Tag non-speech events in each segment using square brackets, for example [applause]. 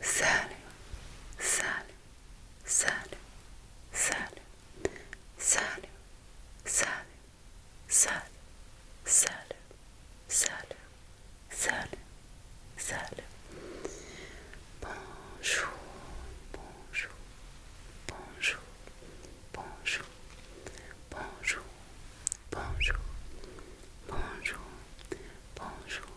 Salut, salut, salut, salut, salut, salut, salut, salut, salut, salut, salut. Bonjour, bonjour, bonjour, bonjour, bonjour, bonjour, bonjour, bonjour.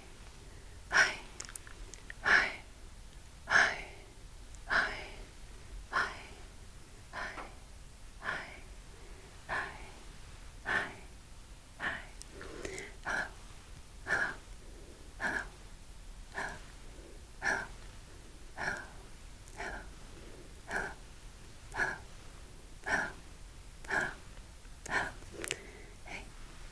hi, hi, hi, hi, hi, hi, hi, hi, hi, hi. Hello, hello, hello, hello, hello, hello, hello, hello, hello, Hey,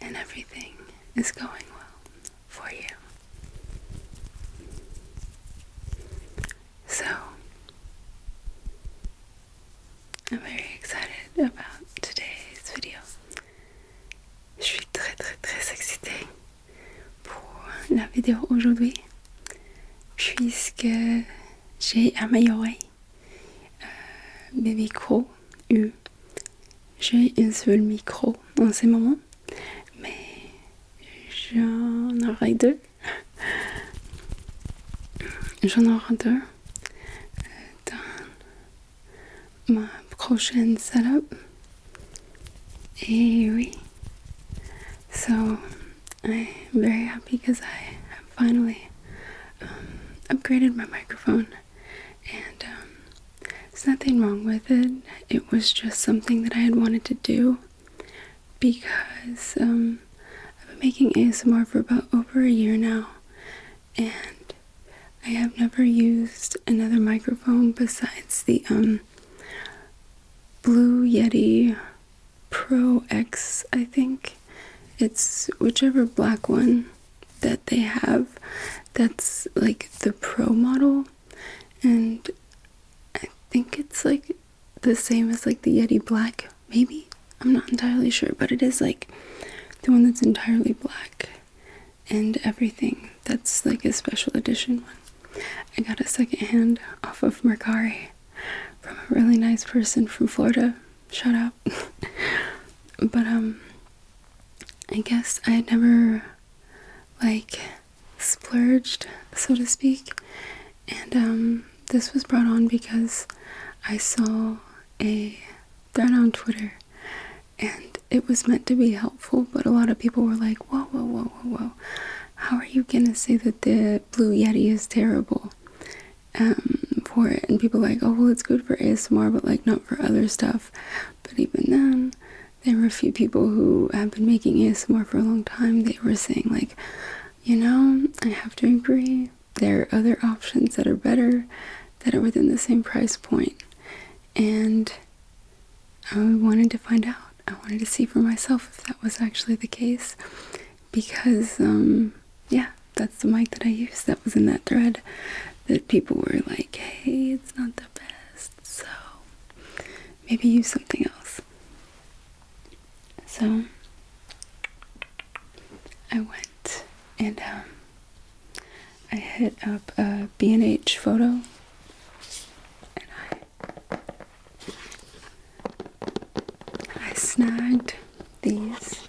and everything is going well for you. So, I'm very excited about today's video. Je suis très très très excitée pour la vidéo aujourd'hui puisque j'ai amélioré euh, mes micros j'ai un seul micro en ce moment, mais j'en aurai deux. J'en aurai deux dans ma prochaine setup Et oui. So I'm very happy because I have finally finalement um, upgraded my microphone. and um, there's nothing wrong with it. It was just something that I had wanted to do because um, I've been making ASMR for about over a year now, and I have never used another microphone besides the um, Blue Yeti Pro X, I think. It's whichever black one that they have that's like the pro model and I think it's like the same as like the Yeti Black, maybe. I'm not entirely sure, but it is like the one that's entirely black and everything. That's like a special edition one. I got a second hand off of Mercari from a really nice person from Florida. Shut up. [laughs] but um I guess I had never like splurged, so to speak, and um, this was brought on because I saw a thread on Twitter and it was meant to be helpful, but a lot of people were like, Whoa, whoa, whoa, whoa, whoa, how are you gonna say that the Blue Yeti is terrible? Um, for it, and people like, Oh, well, it's good for ASMR, but like not for other stuff. But even then, there were a few people who have been making ASMR for a long time. They were saying, like, you know, I have to agree. There are other options that are better, that are within the same price And I wanted to find out. I wanted to see for myself if that was actually the case. Because, um, yeah, that's the mic that I used that was in that thread that people were like, hey, it's not the best so maybe use something else. So I went and um, I hit up a B&H photo and I I snagged these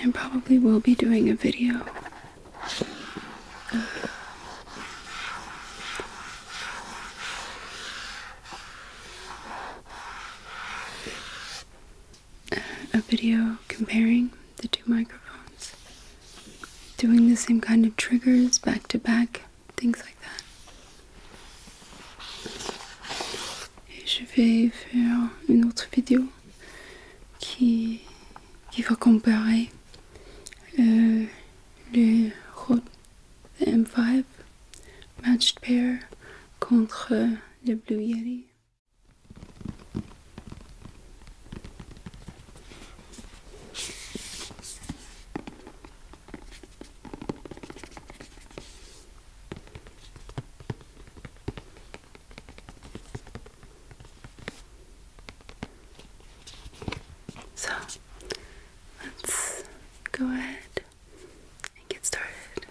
And I probably will be doing a video a video comparing the two microphones, doing the same kind of triggers back to back, things like that. je vais faire une autre vidéo qui, qui va comparer euh, le Rode M5 Matched Pair contre euh, le Blue Yeti. So let's go ahead and get started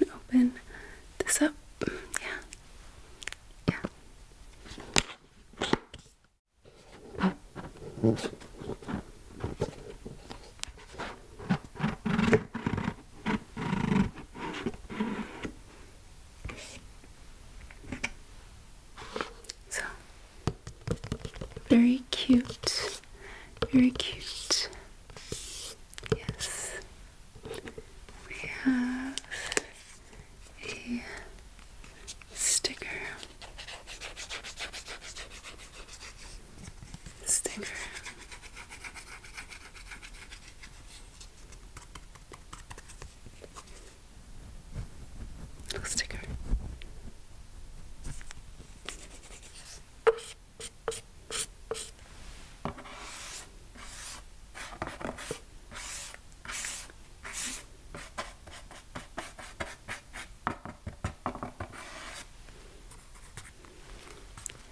and open this up. Yeah. Yeah. So very cute, very cute. Yes, we have a sticker. Sticker. Little sticker.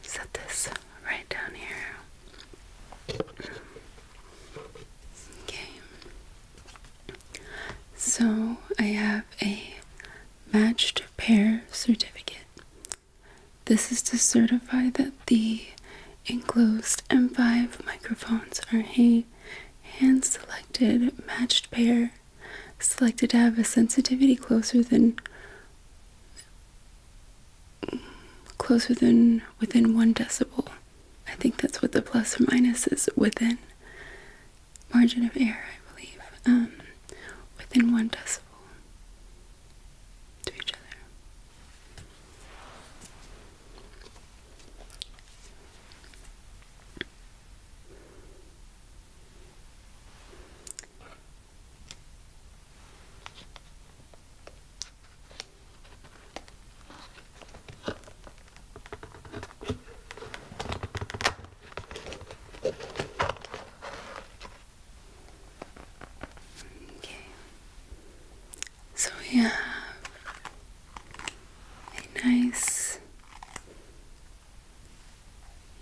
Set this right down here. Okay. So I have a matched pair certificate. This is to certify that the enclosed M5 microphones are a hand selected matched pair, selected to have a sensitivity closer than closer than within one decibel. I think that's what the plus or minus is within margin of error, I believe. Um, within one decibel to each other. Okay. So we have a nice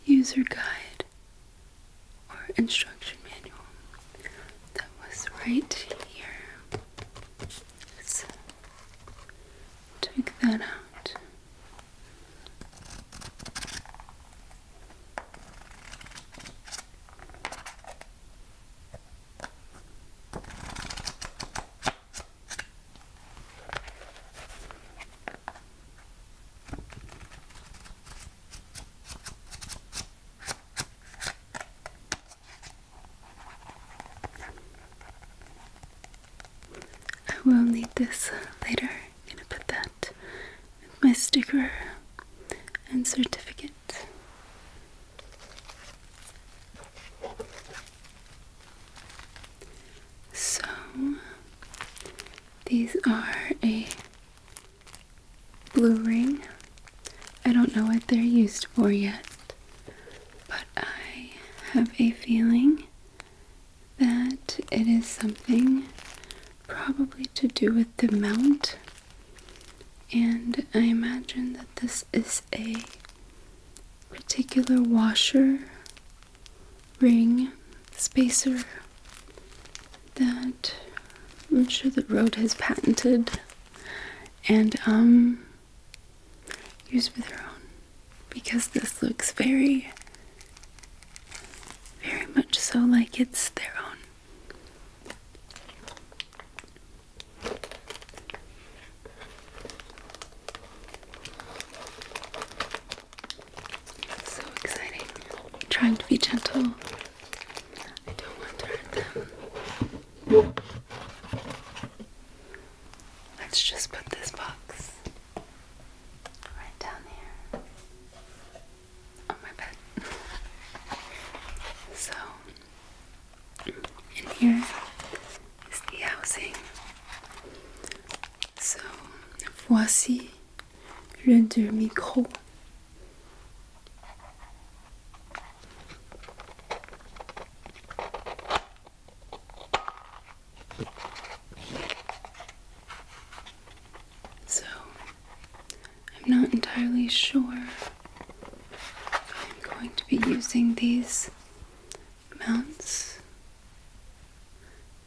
user guide or instruction manual that was right here. Let's take that out. I will need this later going to put that with my sticker and certificate. So, these are a blue ring. I don't know what they're used for yet, but I have a feeling that it is something probably to do with the mount. And I imagine that this is a particular washer, ring, spacer that I'm sure that Rode has patented and um, used with their own because this looks very very much so like it's their own so exciting. trying to be gentle. I don't want to hurt them. Let's just put this box right down here on my bed. [laughs] so, in here is the housing. So, voici le deux micros. So, I'm not entirely sure if I'm going to be using these mounts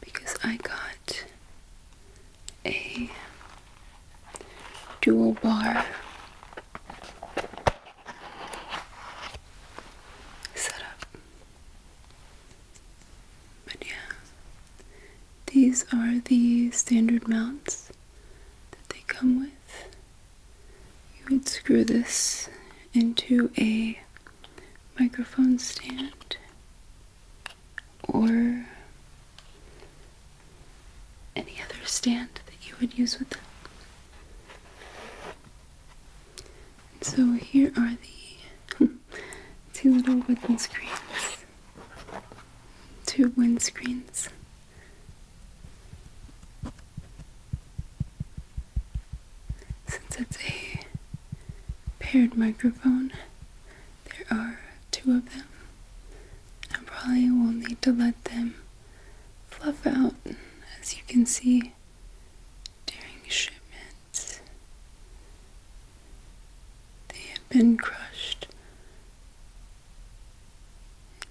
because I got a dual bar setup. But yeah, these are the standard mounts that they come with. You would screw this into a microphone stand or any other stand that you would use with them. And so here are the [laughs] two little wooden screens two wind screens. Since it's a paired microphone, there are two of them. and probably will need to let them fluff out, as you can see, during shipment. They have been crushed.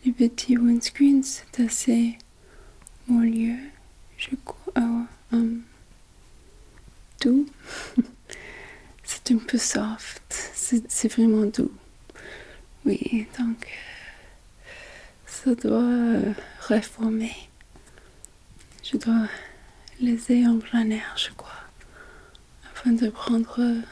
Les petits windscreens, c'est assez mon lieu, je crois. Oh, um, doux. [laughs] c'est un peu soft. C'est vraiment doux. Oui, donc euh, ça doit euh, reformer. Je dois les engraner, je crois. Euh,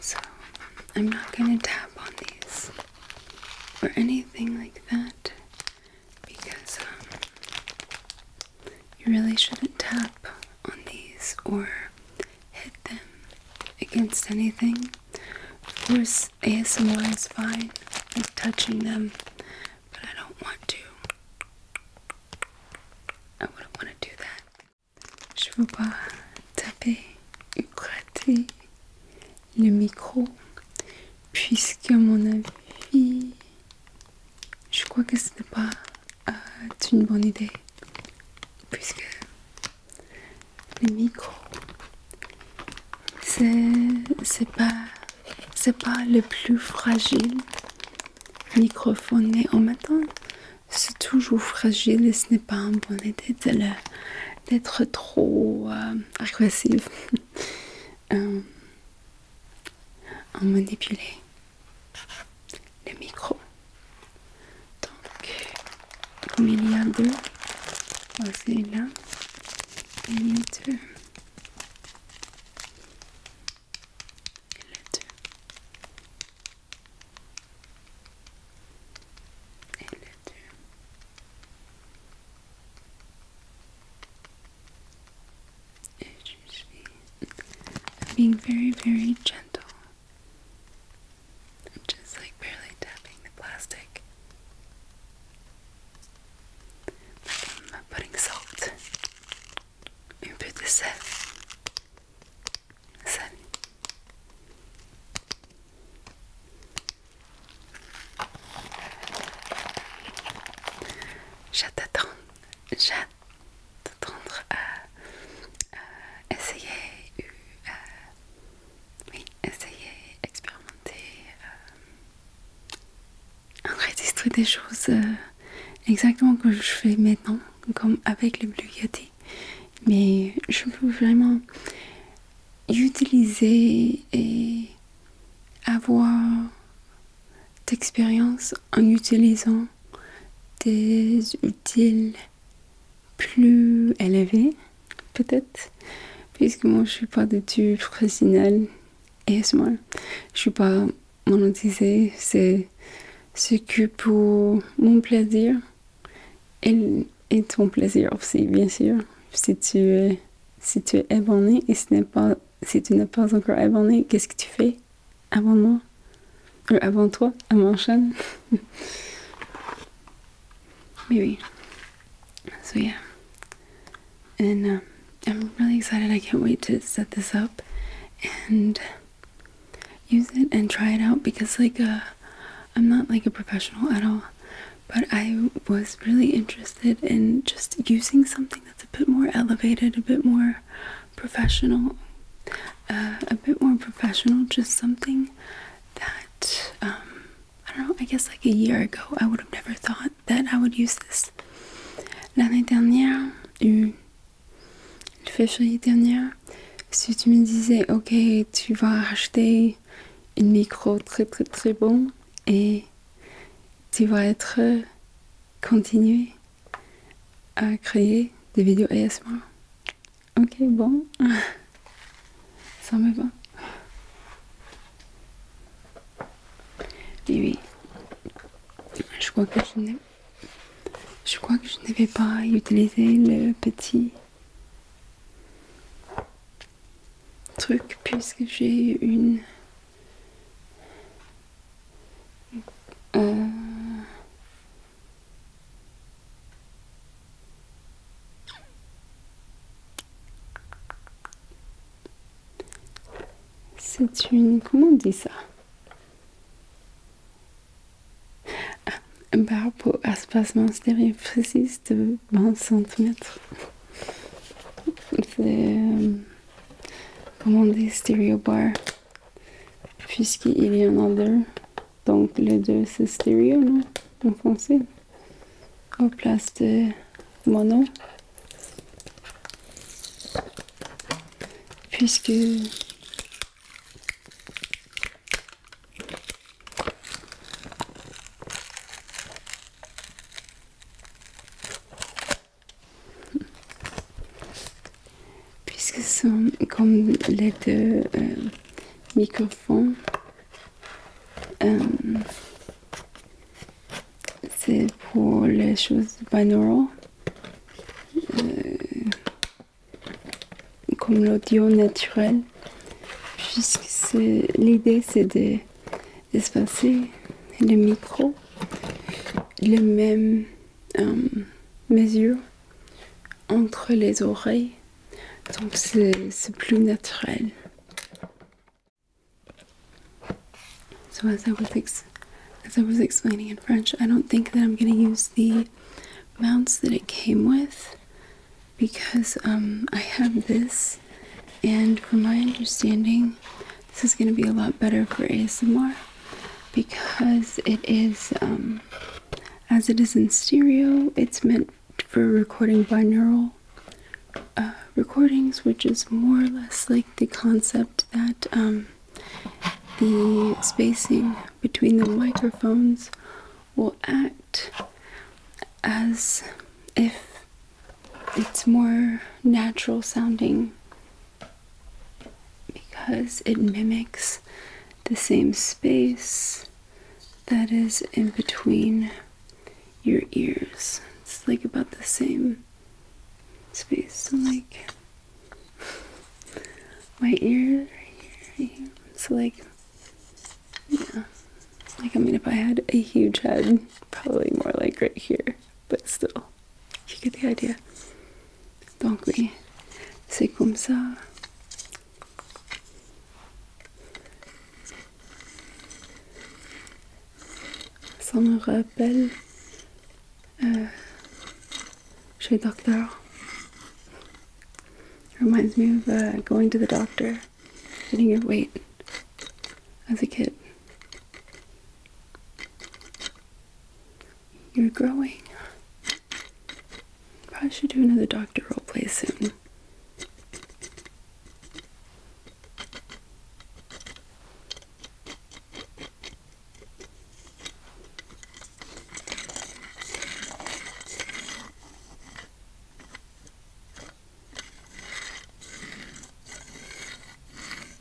so, I'm not going to tap on these or anything like that because um, you really shouldn't tap on these or hit them against anything. Of course, ASMR is fine with touching them, but I don't want to. I wouldn't want to do that. Je veux pas taper ou gratter le micro, puisque, à mon avis, Je crois que ce n'est pas euh, une bonne idée puisque les micros c'est pas pas le plus fragile mais en temps, c'est toujours fragile et ce n'est pas une bonne idée d'être trop agressive. Euh, agressif [laughs] euh, on manipuler le micro. Donc, comme il y a deux, voici là, il y a deux. Et le deux As you see, being very, very gentle. just like barely tapping the plastic. Like I'm putting salt into the set. set. J'attends. j'attendre à essayer, euh, oui, essayer, expérimenter, enregistrer euh, des choses euh, exactement comme je fais maintenant, comme avec le Blue Mais je veux vraiment utiliser et avoir d'expérience en utilisant des outils plus élevés, peut-être, puisque moi je suis pas du tout professionnelle et moi je suis pas monétisée, c'est ce que pour mon plaisir et, ton plaisir aussi, bien sûr, si tu es si tu es et ce n'est pas So yeah. And um, I'm really excited. I can't wait to set this up and use it and try it out because like uh, I'm not like a professional at all. But I was really interested in just using something it's a bit more elevated, a bit more professional, uh, a bit more professional, just something that, um, I don't know, I guess like a year ago, I would have never thought that I would use this. L'année dernière, une février dernière, si tu me disais, ok, tu vas acheter une micro très très très bon et tu vas être continuer euh, continué à créer des vidéos ASMR. Ok, bon, [laughs] ça me va. Et oui, je crois que je n'ai, je crois que je n'avais pas utilisé le petit truc puisque j'ai une euh, c'est une... Comment on dit ça Un ah, barbe au espacement stérile de 20 cm. C'est... Euh, commander Stereo Bar puisqu'il y en a deux. Donc les deux c'est stéréo, non? En français. En place de mono. Puisque puisque c'est comme les deux euh, microphones euh, c'est pour les choses binaurales euh, comme l'audio naturel puisque c'est l'idée c'est de espacer le micro les mêmes euh, entre les oreilles donc c'est plus naturel so as I was explaining in French I don't think that I'm going to use the mounts that it came with because um, I have this and from my understanding this is going to be a lot better for ASMR because it is, um, as it is in stereo, it's meant for recording binaural uh, recordings, which is more or less like the concept that um, the spacing between the microphones will act as if it's more natural sounding because it mimics the same space that is in between your ears. It's like about the same space. So like [laughs] my ear right here. Right So like yeah. Like I mean if I had a huge head, probably more like right here but still, you get the idea. Donc oui, c'est comme ça. Ça euh, Reminds me of uh, going to the doctor, getting your weight as a kid. You're growing. Probably should do another doctor roleplay soon.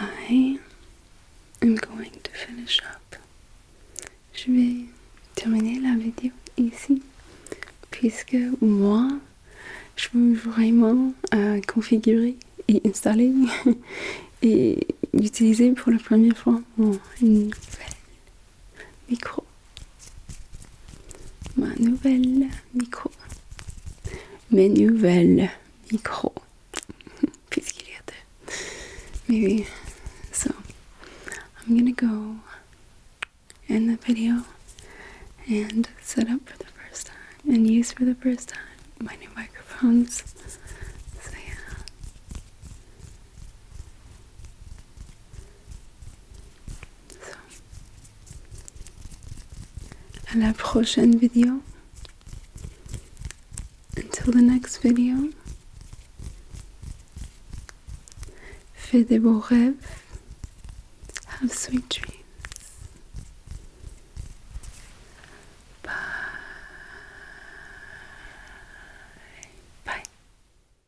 Well, going to finish up. Je vais terminer la vidéo ici, puisque moi, je veux vraiment euh, configurer et installer [laughs] et utiliser pour la première fois mon micro. My nouvelle micro. My nouvelles micro. [laughs] Maybe. So, I'm gonna go end the video and set up for the first time and use for the first time my new microphones. So, yeah. À la prochaine vidéo. Until the next video. Fais des beaux rêves. Have sweet dreams. Bye. Bye.